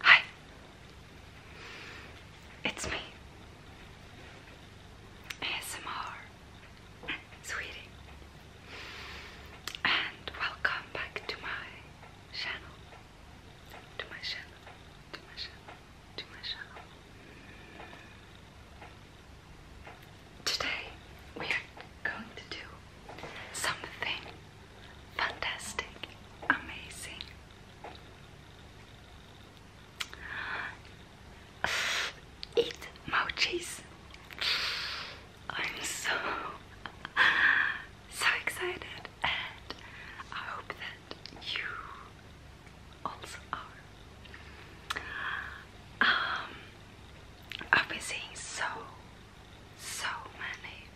Hi. It's me. ASMR. Sweetie. And welcome back to my channel. To my channel. To my channel. To my channel. Today we are going to do something fantastic, amazing. Eat mochis. I'm so so excited, and I hope that you also are. Um, I've been so so many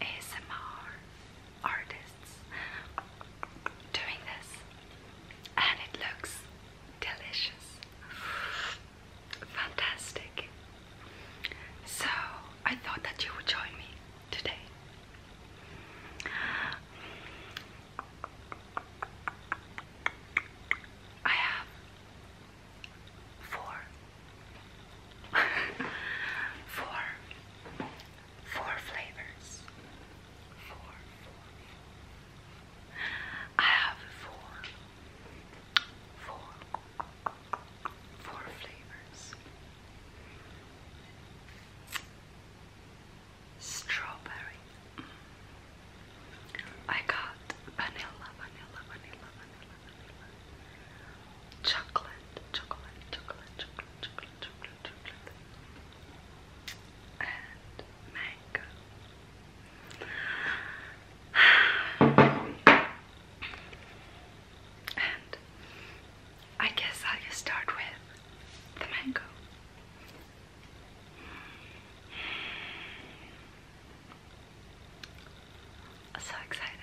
ASMR artists doing this, and it looks delicious, fantastic. So, I thought that you would join me today. I have four, four, four flavors, four, four. I have four, four, four flavors. Strawberry, I got vanilla, vanilla, vanilla, vanilla, vanilla, chocolate, chocolate, chocolate, chocolate, and mango. And I guess I'll just start with the mango. So excited.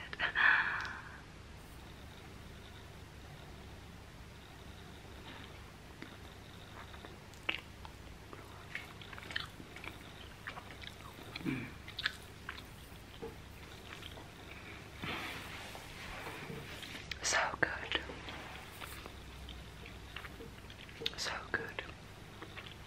So good. So good.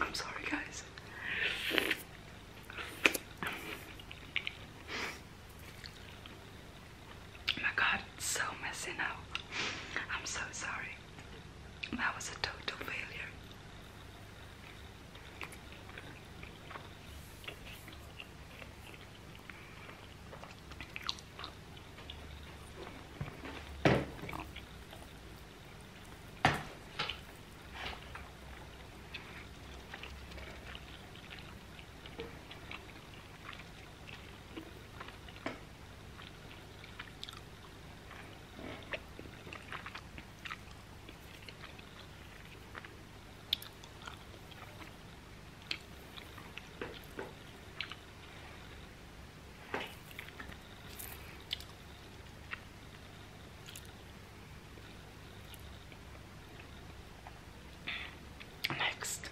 I'm sorry, guys. my god, it's so messy now. I'm so sorry. That was a total failure. Next,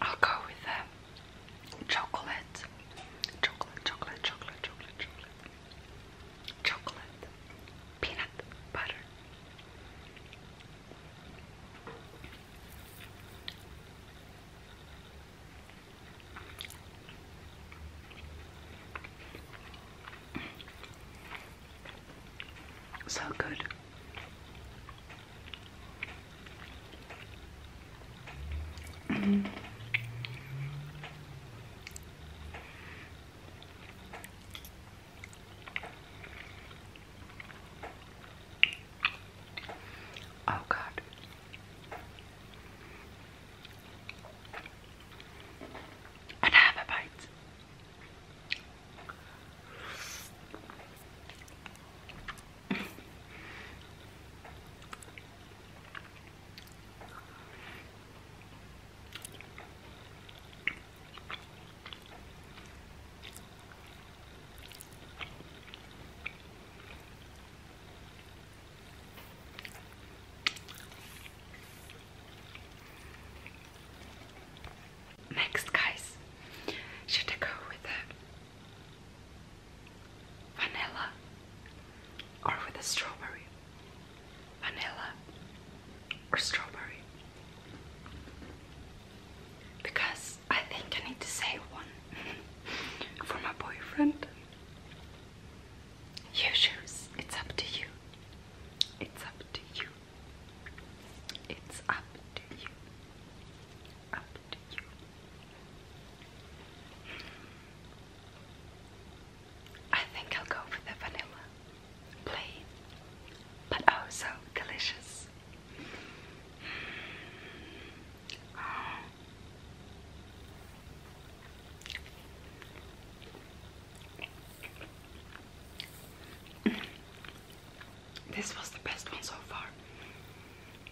I'll go with that um, chocolate, chocolate, chocolate, chocolate, chocolate, chocolate, peanut butter. So good. Oh, God. I have a bite. Next, guys, should I go with the vanilla or with a strawberry, vanilla or strawberry. Because I think I need to save one for my boyfriend. You choose, it's up to you. It's up to you. It's up to you. Up I think I'll go for the vanilla, plain, but oh so delicious. Mm. This was the best one so far.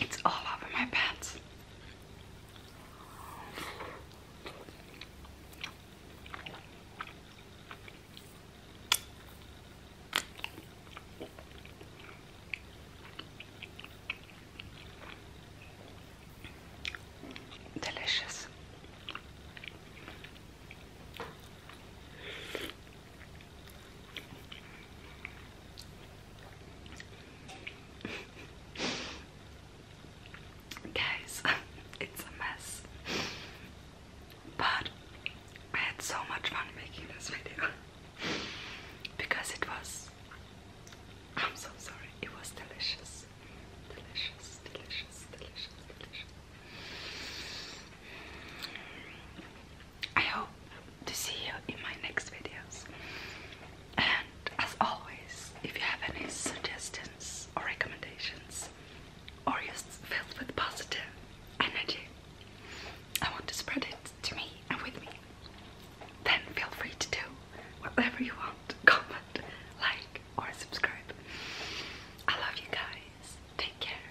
It's all over my pants. Delicious. Guys, it's a mess. But I had so much fun making this video because it was I'm so sorry, it was delicious. Delicious, delicious, delicious, delicious. I hope to see you in my next videos. And as always, if you have any suggestions or recommendations, or just filled with positive energy, I want to spread it to me and with me, then feel free to do whatever you want. Comment, like, or subscribe. I love you guys. Take care.